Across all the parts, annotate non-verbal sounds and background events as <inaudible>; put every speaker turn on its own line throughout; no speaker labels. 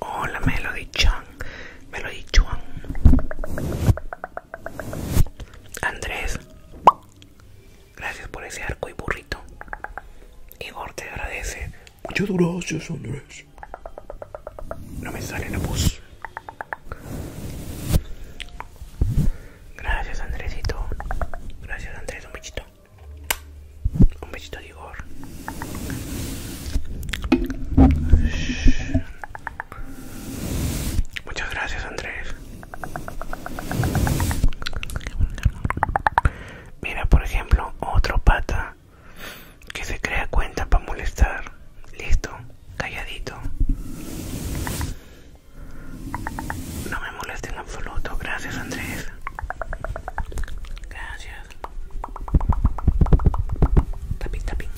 Hola Melody Chan, Melody Chuan Andrés, gracias por ese arco y burrito. Igor te agradece. Muchas gracias Andrés. No me sale la bus. Gracias, Andresito. Gracias, Andrés. Un bichito. Un bichito de Igor. Muchas gracias, Andrés. Mira, por ejemplo, otro pata que se crea cuenta para molestar. Listo, calladito. No me moleste en absoluto. Gracias, Andrés. Gracias. Tapín, tapín.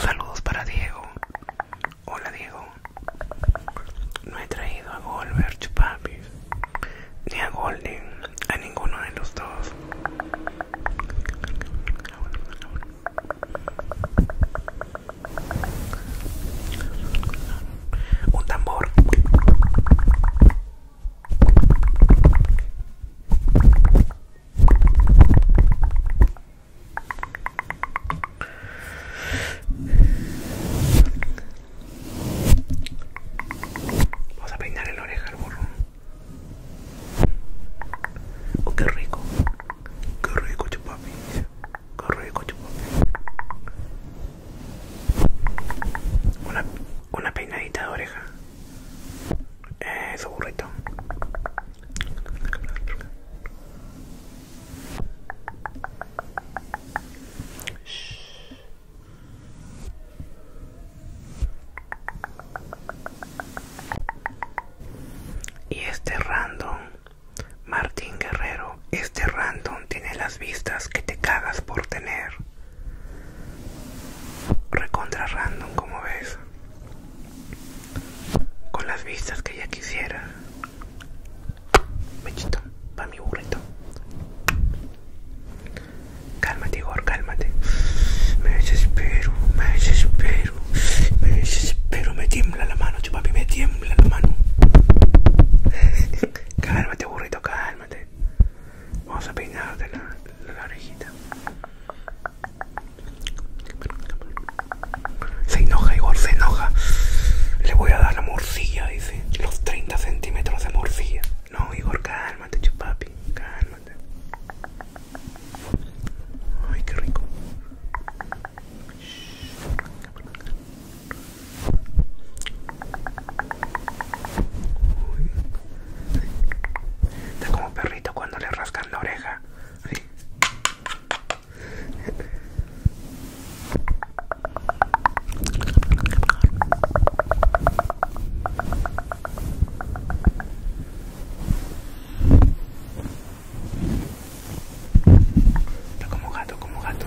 Saludos para Diego. Hola Diego. No he traído a Golver Chupapis ni a Golden, a ninguno de los dos. Un tambor. Vamos a peinar el oreja al burro. Oh, qué rico. Qué rico, chupapi! Corre, coche. Una, una peinadita de oreja. Eso, eh, burrito. Y este random Martín Guerrero, este random tiene las vistas que te cagas por tener. Recontra random, como ves. Con las vistas que ella quisiera. Mechito, pa' mi burrito. Cálmate, Igor, cálmate. Me desespero, me desespero, me desespero, me tiembla la mano, chupapi, me tiembla la mano. Cálmate, burrito, cálmate. Vamos a peinarte la, orejita. Se enoja, Igor, se enoja. Le voy a dar la morcilla, dice. Los 30 centímetros de morcilla. No, Igor, cálmate, chupapi. Cálmate. Ay, qué rico. Está como perrito cuando le rascan la oreja. Está como gato, como gato.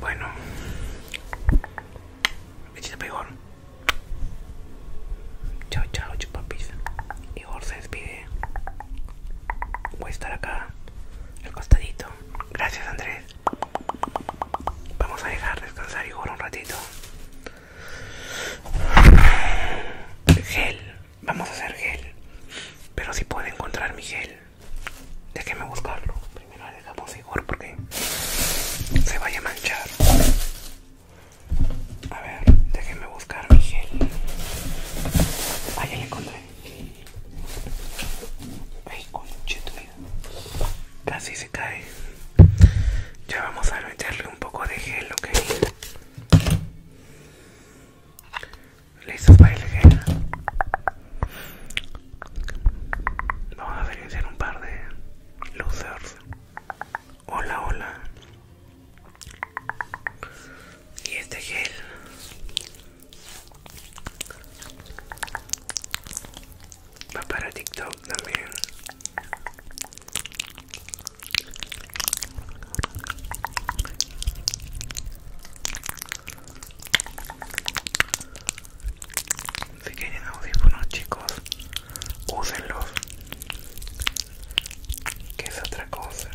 Bueno, para Igor Chao, chao, chupapis. Igor se despide. Voy a estar acá, al costadito. Gracias, Andrés. Vamos a dejar descansar Igor un ratito. Gel, Vamos a hacer gel. Pero si puedo encontrar mi gel. Déjeme buscarlo. Primero le dejamos seguro porque se vaya a manchar. A ver, déjeme buscar mi gel. Ah, ya le encontré. Ay, Casi se cae. Ya vamos a meterle un poco de gel, ok listos para gel? vamos a silenciar un par de losers hola hola y este gel va para tiktok también si quieren audífonos chicos, úsenlos. Que es otra cosa.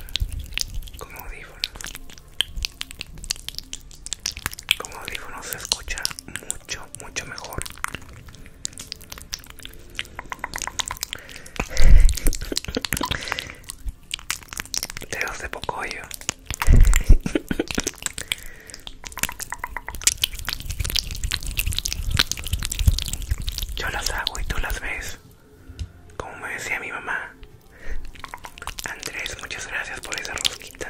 Como audífonos. Con audífonos se escucha mucho, mucho mejor dedos de poco. <laughs> yo las hago y tú las ves como me decía mi mamá Andrés muchas gracias por esa rosquita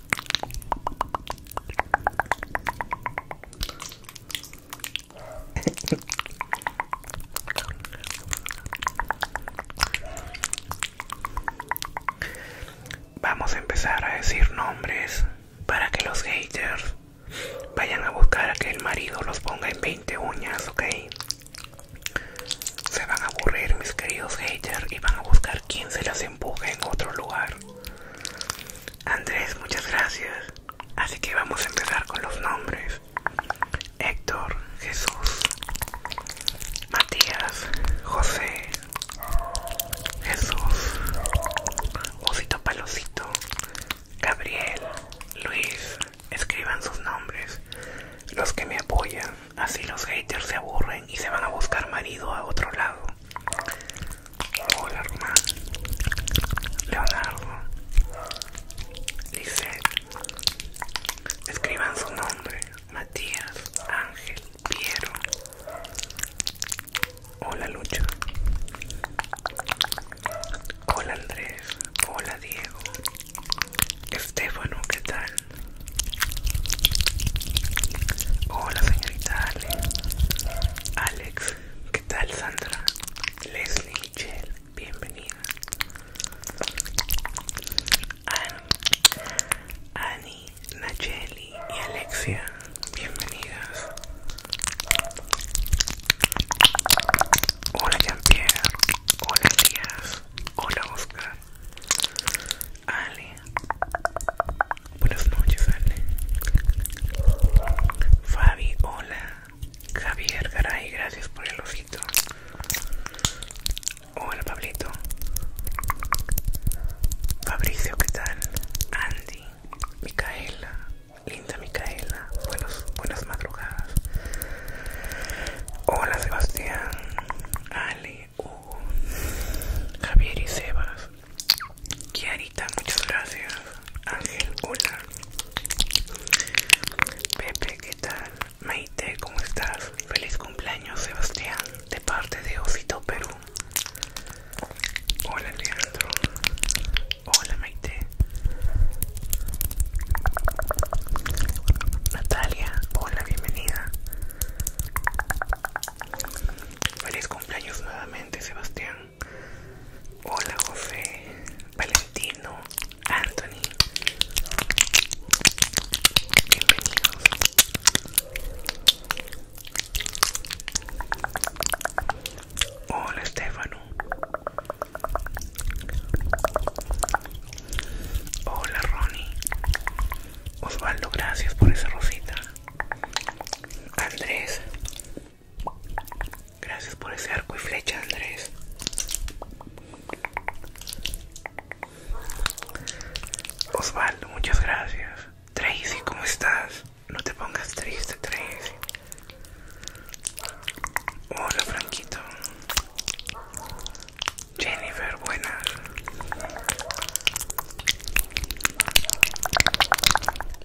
Vamos a empezar a decir nombres para que los haters vayan a buscar a que el marido los ponga en 20 uñas, ¿ok? Se van a aburrir mis queridos haters y van a buscar quién se las empuje en otro lugar. Andrés, muchas gracias. Así que vamos a empezar con los nombres. Héctor, Jesús, Matías, José, Jesús, Osito Palocito, Gabriel, Luis. Escriban sus nombres. Los que me apoyan, Así los haters se aburren y se van a buscar marido a otro lado. Hola, hermano. Leonardo. Dice. Escriban su nombre. Matías, Ángel, Piero. Hola, Lucha Hola, Andrés. Hola, Diego. Estefano, ¿qué tal? Hola señorita Alex, ¿qué tal Sandra? Leslie, Michelle, bienvenida. Annie, Nacheli y Alexia, bienvenidas. Hola Jean-Pierre, hola Elías, hola Oscar. Ale. Buenas noches, Ale. Fabi, hola. Javier Garay, gracias por el ojito Hola, Pablito. Fabricio, ¿qué tal? Andy, Micaela, linda Micaela, buenas madrugadas. Hola, Sebastián, Ale. Javier y Sebas, Kiarita, muchas gracias, Ángel, hola, Pepe, ¿qué tal? Maite, ¿cómo estás? Feliz cumpleaños, Sebastián, de parte de Osito Perú. Hola, Leandro. Hola, Maite. Natalia, hola, bienvenida. Feliz cumpleaños nuevamente, Sebastián. Hola, José, Valentino, Anthony. Bienvenidos. Hola, Estefano. Hola, Ronnie. Osvaldo, gracias por esa rosita. Andrés, gracias por ese arco y flecha, Andrés. Osvaldo, muchas gracias. Tracy, ¿cómo estás? No te pongas triste, Tracy. Hola, Franquito. Jennifer, buenas.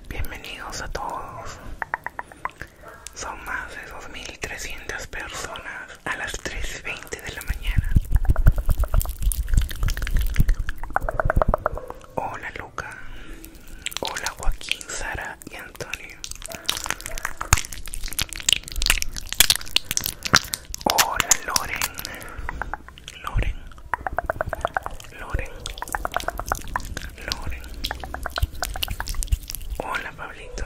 Bienvenidos a todos. Son más de 2.300 personas a las 3.20 de la mañana. Hola Luca. Hola Joaquín, Sara y Antonio. Hola Loren. Loren. Loren. Loren. Hola Pablito.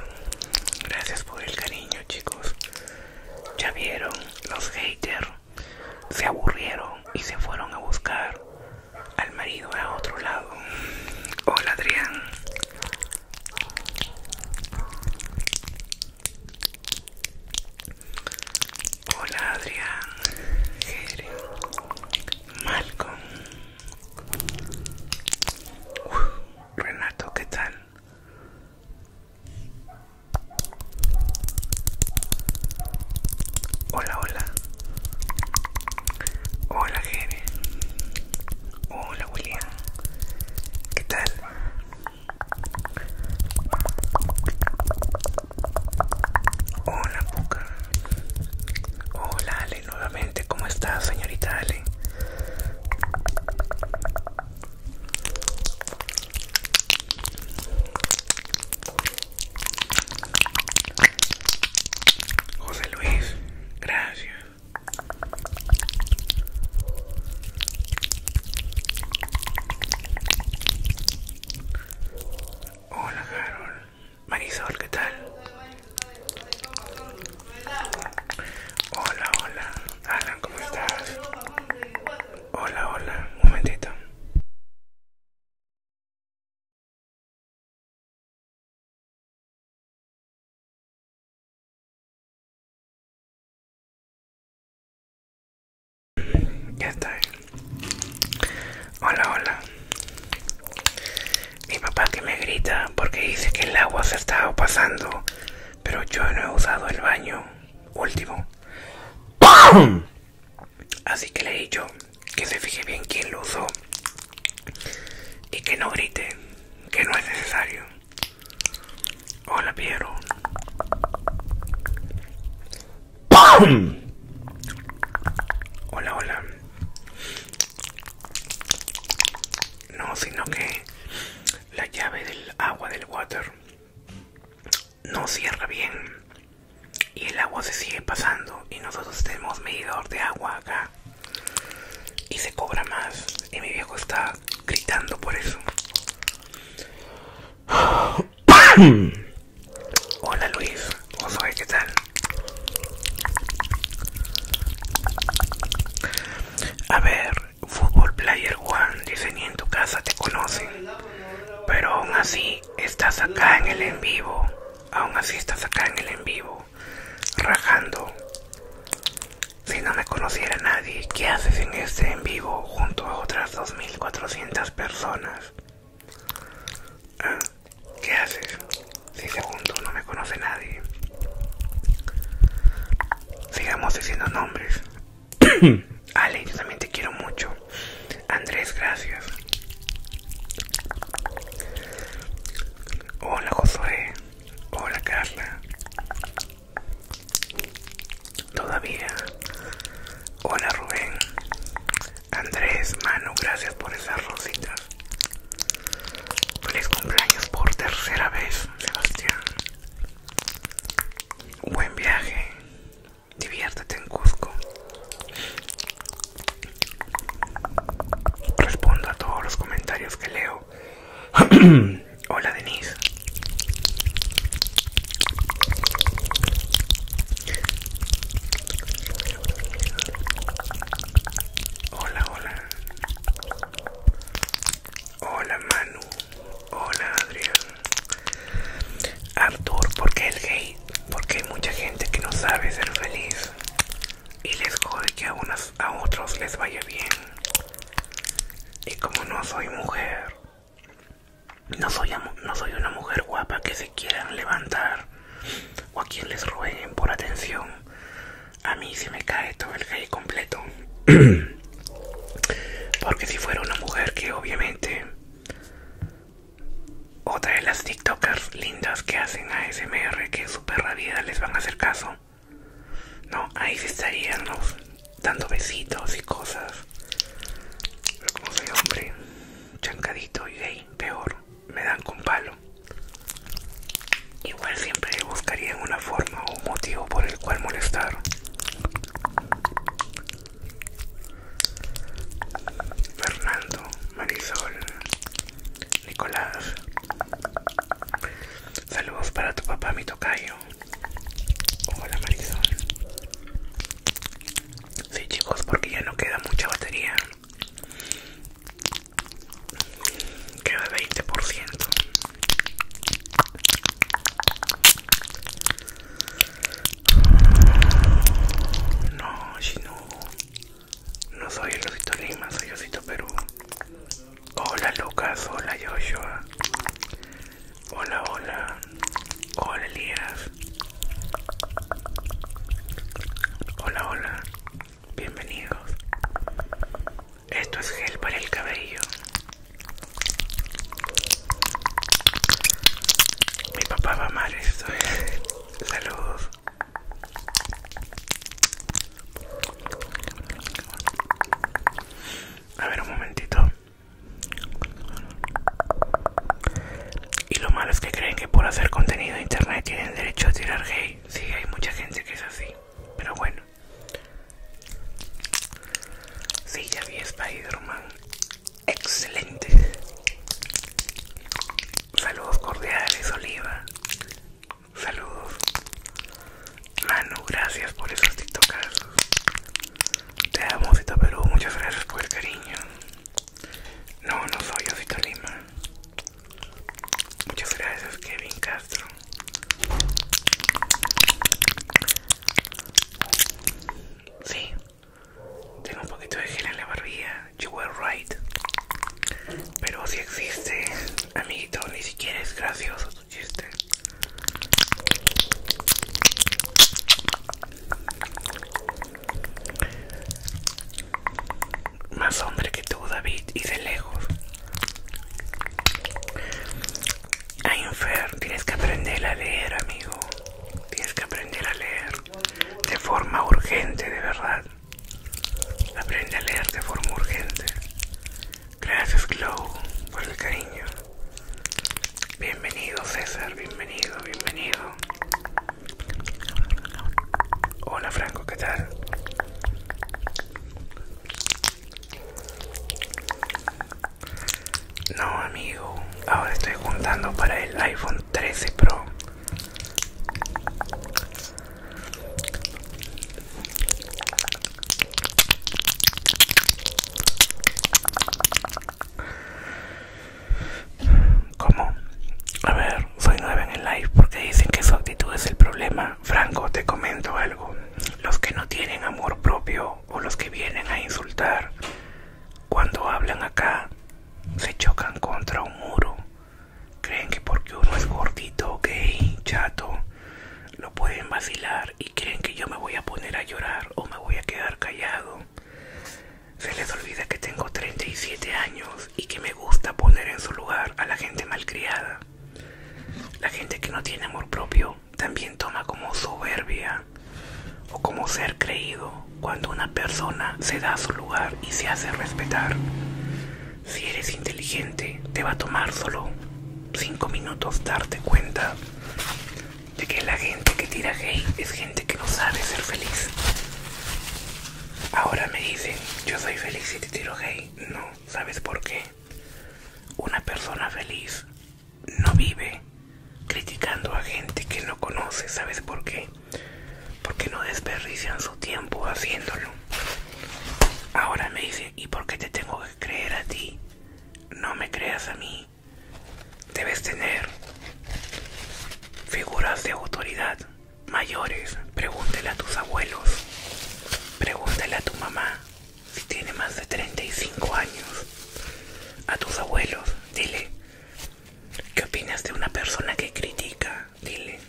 Gracias por el cariño chicos. Ya vieron los haters. Se aburrieron y se fueron a buscar al marido a otro lado. Hola Adrián. Hola Adrián, Jere, Malcolm, Renato, ¿qué tal? Hola, hola. Hola Jere. Hola William. ¿Qué tal? Hola, Puka. Hola, Ale, nuevamente. ¿Cómo estás, señorita Ale? José Luis, gracias. Hola Carol, Marisol, ¿qué tal? Hola, hola, Alan, ¿cómo estás? Hola, hola, un momentito. Ya está. Hola, hola. Mi papá que me grita porque dice que el agua se estaba pasando, pero yo no he usado el baño último. Así que le he dicho que se fije bien quién lo usó y que no grite, que no es necesario. Hola, Piero. Hola, hola. No, sino que la llave del agua del water no cierra bien y el agua se sigue pasando y nosotros tenemos medidor de agua acá y se cobra más y mi viejo está gritando por eso <clears throat> Hola Luis, ¿cómo soy? ¿Qué tal? A ver, Fútbol Player One dice ni en tu casa te conocen, pero aún así estás acá en el en vivo, aún así estás acá en el en vivo, rajando. Si no me conociera nadie, ¿qué haces en este en vivo junto a otras? 2.400 personas. Ah, ¿Qué haces? Si segundo no me conoce nadie. Sigamos diciendo nombres. <coughs> Ale, yo también te quiero mucho. Andrés, gracias. Hola Josué. Hola Carla. Todavía. Hola Rubén. Andrés, Manu, gracias por esas rositas. Feliz cumpleaños por tercera vez, Sebastián. Buen viaje. Diviértete en Cusco. Respondo a todos los comentarios que leo. <clears throat> Hola Denise. Hola, hola. Hola Manu. Hola Adrián. ¡Arthur! ¿por el gay? Porque hay mucha gente que no sabe ser feliz y les jode que a unos a otros les vaya bien. Y como no soy mujer, no soy, una mujer guapa que se quieran levantar o a quien les rueguen por atención. A mí se me cae todo el gay completo. <clears throat> Porque si fuera una mujer que obviamente... Otra de las TikTokers lindas que hacen ASMR que super rabida les van a hacer caso. No, ahí sí estarían los dando besitos y cosas. Pero como soy hombre, chancadito y gay, peor, me dan con palo. Igual siempre buscarían una forma o un motivo por el cual molestar. Fernando, Marisol, Nicolás. Saludos para tu papá, mi tocayo. Hola Marisol. Sí chicos, porque ya no queda mucha batería. Queda 20%. No, No soy el Osito Lima, soy Osito Perú. Hola Lucas, hola Joshua. Hola, hola. Hola, Elías. Hola, hola. Bienvenidos. Esto es gel para el cabello. Mi papá va a amar esto. <laughs> Saludos. A ver un momentito. Y lo malo es que creen que por hacer contenido en internet tienen derecho a tirar gay. Sí, hay mucha gente que es así, pero bueno. Sí, ya vi Spider-Man. Excelente. Saludos cordiales, Oliva. Saludos. Manu, gracias por esos TikToks. Te amo, Osito Perú. Muchas gracias por el cariño. No, no soy Osito Lima. Muchas gracias, Kevin Castro. Sí, tengo un poquito de gel en la barbilla. You were right. Pero si existe, amiguito, ni siquiera es gracioso chiste. Más hombre que tú, David, y de lejos. Ay, tienes que aprender a leer, amigo. Tienes que aprender a leer de forma urgente, de verdad. Aprende a leer de forma urgente. Gracias, Glow, por el cariño. Bienvenido César, bienvenido, bienvenido. Hola Franco, ¿qué tal? No, amigo, ahora estoy juntando para el iPhone 13 Pro. ¿Cómo? A ver, soy nueva en el live porque dicen que su actitud es el problema. Franco, te comento algo. Los que no tienen amor propio o los que vienen a insultar, cuando hablan acá, se chocan contra un muro. Creen que porque uno es gordito, gay, chato, lo pueden vacilar y creen que yo me voy a poner a llorar o me voy a quedar callado. Se les olvida que tengo 37 años y que me gusta poner en su lugar a la gente malcriada. La gente que no tiene amor propio también toma como soberbia o como ser creído cuando una persona se da a su lugar y se hace respetar. Si eres inteligente, te va a tomar solo 5 minutos darte cuenta de que la gente que tira gay es gente que no sabe ser feliz. Ahora me dicen, yo soy feliz y te tiro gay. No, ¿sabes por qué? Una persona feliz no vive criticando a gente que no conoce. ¿Sabes por qué? Porque no desperdician su tiempo haciéndolo. Ahora me dicen, ¿y por qué te tengo que creer a ti? No me creas a mí. Debes tener figuras de autoridad mayores. Pregúntele a tus abuelos. pregúntale a tu mamá si tiene más de 35 años. A tus abuelos, dile. ¿Qué opinas de una persona que critica? Dile.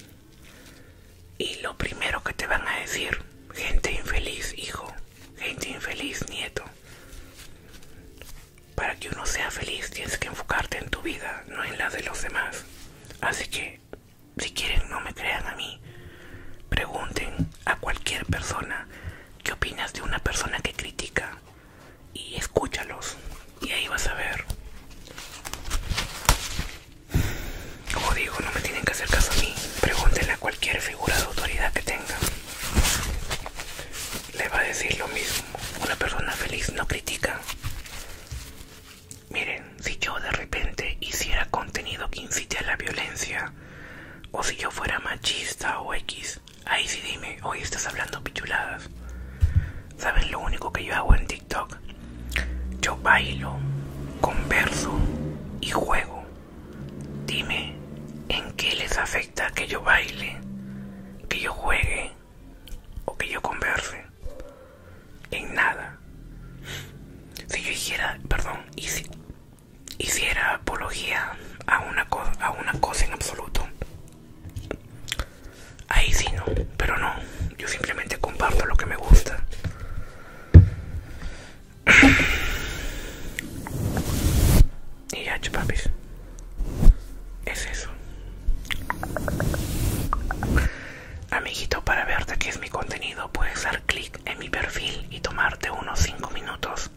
Y lo primero que te van a decir, gente infeliz, hijo, gente infeliz, nieto, para que uno sea feliz tienes que enfocarte en tu vida, no en la de los demás. Así que, si quieren, no me crean a mí. Pregunten a cualquier persona qué opinas de una persona que critica y escúchalos. Y ahí vas a ver. Como digo, no me tienen que hacer caso a mí. Pregúntenle a cualquier figura de autoridad que tenga le va a decir lo mismo. Una persona feliz no critica. Miren, si yo de repente hiciera contenido que incite a la violencia, o si yo fuera machista o X, ahí sí dime, hoy estás hablando pichuladas. ¿Saben lo único que yo hago en TikTok? Yo bailo, converso y juego. Dime, ¿en qué les afecta que yo baile, que yo juegue o que yo converse? En nada. Si yo hiciera, perdón, hiciera apología a una, cosa, a una cosa en absoluto, ahí sí no, pero no, yo simplemente comparto lo que me gusta. Y ya, chupapis. Es eso. Amiguito, para verte qué es mi contenido, puedes dar clic en mi perfil y tomarte unos 5 minutos.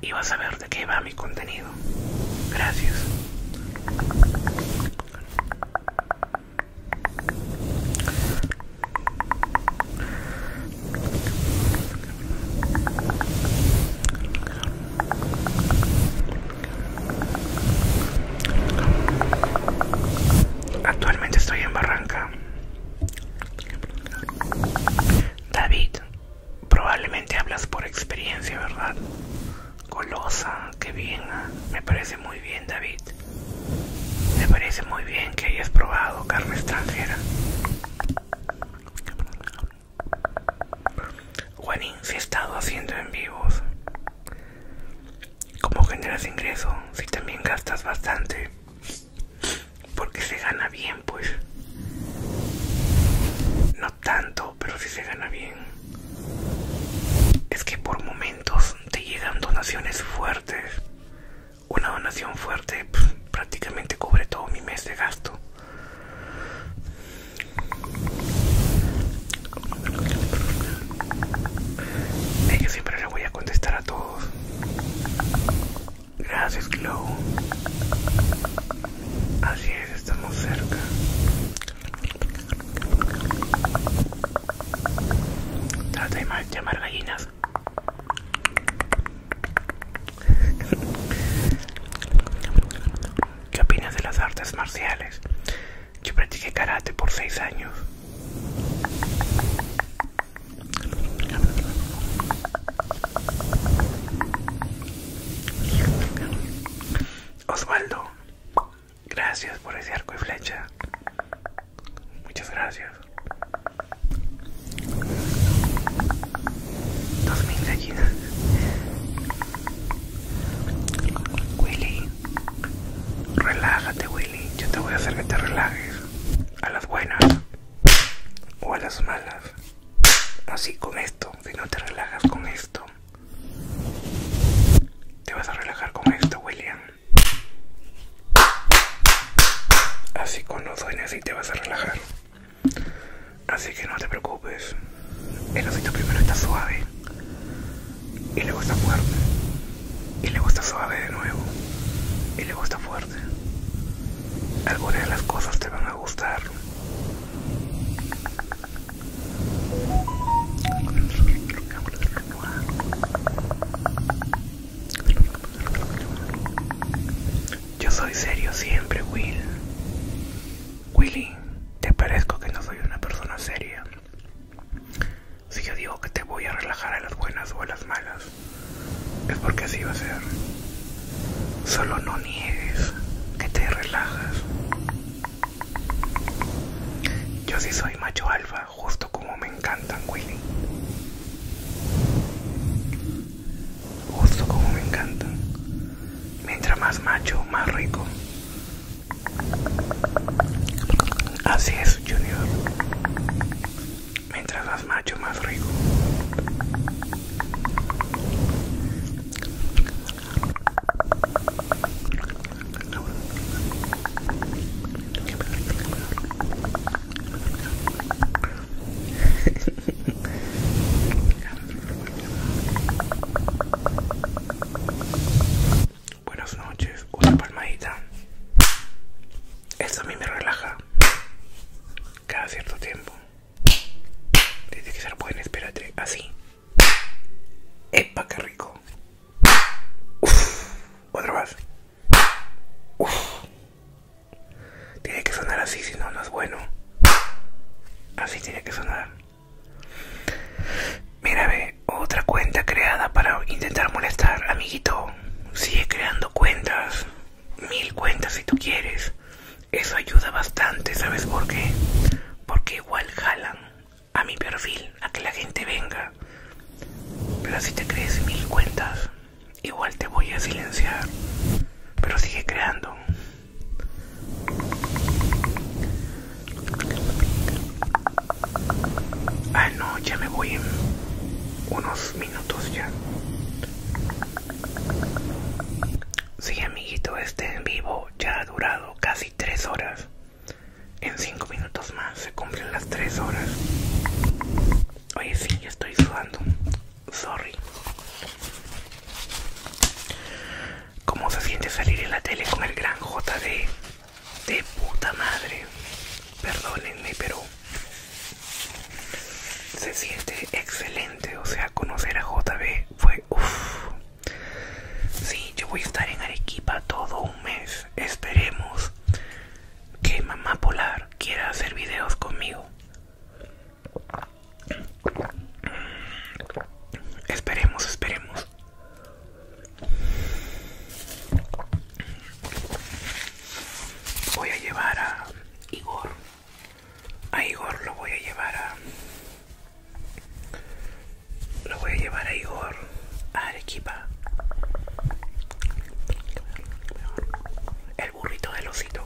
Y vas a ver de qué va mi contenido. Gracias. Actualmente estoy en Barranca. David, probablemente hablas por experiencia, ¿verdad? colosa, qué bien. Me parece muy bien, David. Me parece muy bien que hayas probado carne extranjera. Juanín si he estado haciendo en vivos. ¿Cómo generas ingreso si también gastas bastante? Porque se gana bien, pues. No tanto, pero si sí se gana bien. Es que por momentos te llegan donaciones fuertes. Una donación fuerte pues, prácticamente cubre todo mi mes de gasto. Es eh, que siempre le voy a contestar a todos. Gracias, Glow. Así es, estamos cerca. Trata de llamar gallinas. <laughs> ¿Qué opinas de las artes marciales? Yo practiqué karate por seis años. Osvaldo, gracias por ese arco y flecha. Muchas gracias. Dos mil gallinas. Willy, relájate, Willy. Yo te voy a hacer que te relajes. A las buenas o a las malas. Así con esto. Si no te relajas con esto, te vas a relajar con esto, William. Así con los dueños y te vas a relajar. Así que no te preocupes. El osito primero está suave. Y luego está fuerte. Y luego está suave de nuevo. Y luego está fuerte. Algunas de las cosas te van a gustar. Yo soy serio siempre, Will. Willy, te parezco que no soy una persona seria. Si yo digo que te voy a relajar a las buenas o a las malas, es porque así va a ser. Solo no niegues que te relajas. Yo sí soy macho alfa, justo como me encantan, Willy justo como me encanta Mientras más macho, más rico. Así es, Junior. Mientras más macho, más rico. <laughs> Buenas noches, una palmadita. Esto a mí me relaja cada cierto tiempo. Dice que ser pueden esperar así. ¡Epa, qué rico! Otra vez. Tiene que sonar así, si no, no es bueno. Así tiene que sonar. Mira, ve, otra cuenta creada para intentar molestar, amiguito. Sigue creando cuentas. Mil cuentas si tú quieres. Eso ayuda bastante, ¿sabes por qué? Porque igual jalan a mi perfil, a que la gente venga. Pero si te crees mil cuentas, Igual te voy a silenciar, pero sigue creando. Ah, no, ya me voy en unos minutos ya. Sí, amiguito, este en vivo ya ha durado casi tres horas. En cinco minutos más se cumplen las tres horas. Oye, sí, ya estoy sudando. Sorry. ¿Cómo se siente salir en la tele con el gran JD? De puta madre. Perdónenme, pero se siente excelente. O sea, conocer a JB fue uff. Sí, yo voy a estar en Arequipa todo un mes. Esperemos que Mamá Polar quiera hacer videos conmigo. Esperemos, esperemos. Voy a llevar a Igor. A Igor lo voy a llevar a... Lo voy a llevar a Igor a Arequipa. El burrito del osito.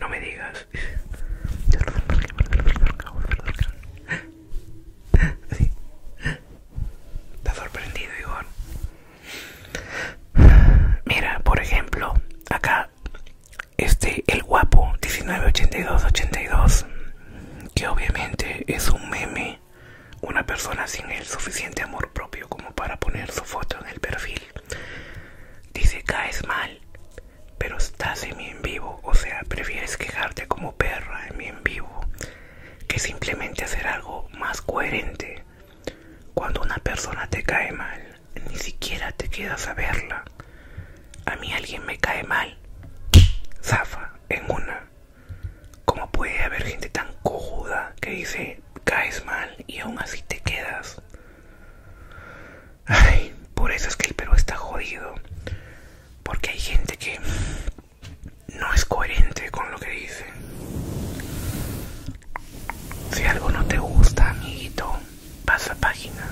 No me digas. Está sorprendido, Igor. Mira, por ejemplo, acá este el guapo 198282 que obviamente es un meme una persona sin el suficiente amor propio como para poner su foto en el perfil. Dice caes mal, pero estás en mi en vivo, o sea, prefieres quejarte como perra en mi en vivo que simplemente hacer algo más coherente. Cuando una persona te cae mal, ni siquiera te quedas a verla. A mí alguien me cae mal, zafa en una. ¿Cómo puede haber gente tan cojuda que dice caes mal y aún así te quedas? Ay, por eso es que el Perú está jodido. Porque hay gente que no es coherente con lo que dice. Si algo no te gusta, amiguito, pasa página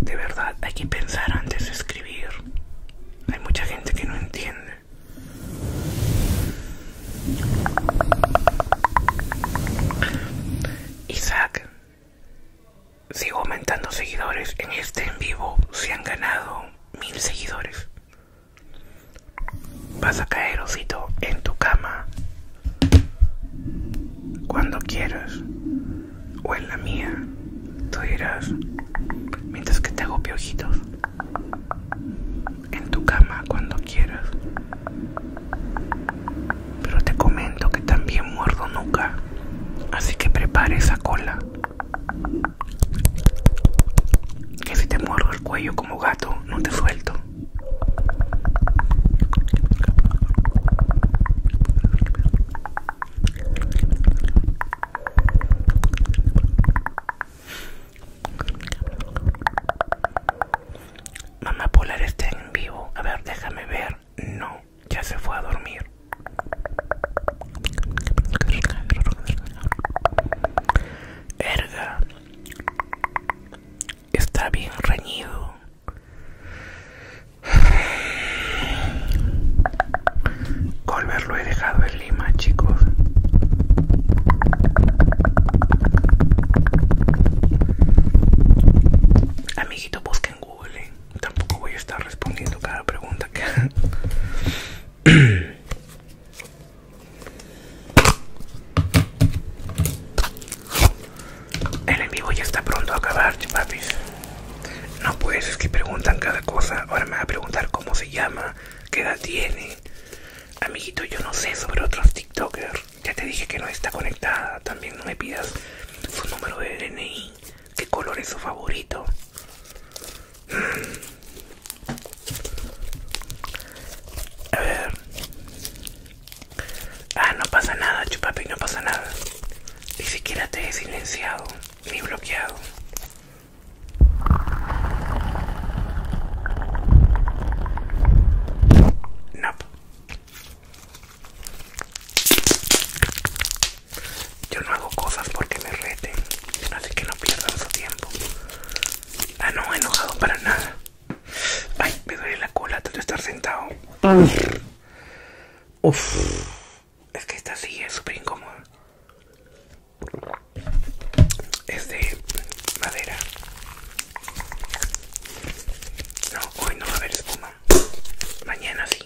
de verdad hay que pensar antes de escribir. Hay mucha gente que no entiende. Isaac, sigo aumentando seguidores. En este en vivo se han ganado mil seguidores. Vas a caer, osito, en tu cama. Cuando quieras o en la mía, tú dirás, mientras que te hago piojitos, en tu cama cuando quieras. Pero te comento que también muerdo nunca así que prepare esa cola. Que si te muerdo el cuello como gato, no te suelto. Mamá Polar está en vivo. A ver, déjame ver. No, ya se fue a dormir. Erga. Está bien reñido. Colbert lo he dejado en Lima, chicos. Amiguito, busca en Google. ¿eh? Tampoco voy a estar respondiendo cada pregunta que. <clears throat> El en vivo ya está pronto a acabar, papis. No, pues es que preguntan cada cosa. Ahora me va a preguntar cómo se llama, qué edad tiene. Amiguito, yo no sé sobre otros TikTokers. Ya te dije que no está conectada. También no me pidas su número de DNI. ¿Qué color es su favorito? A ver. Ah, no pasa nada, chupapi, no pasa nada. Ni siquiera te he silenciado ni bloqueado. No. Yo no hago cosas porque me reten, así que no pierdan su tiempo. Ah, no, enojado para nada. Ay, me duele la cola tanto estar sentado. Uf. Es que esta silla es súper incómoda. Es de madera. No, hoy no va a haber espuma. Mañana sí.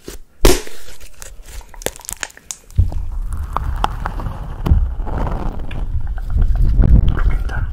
Tormenta.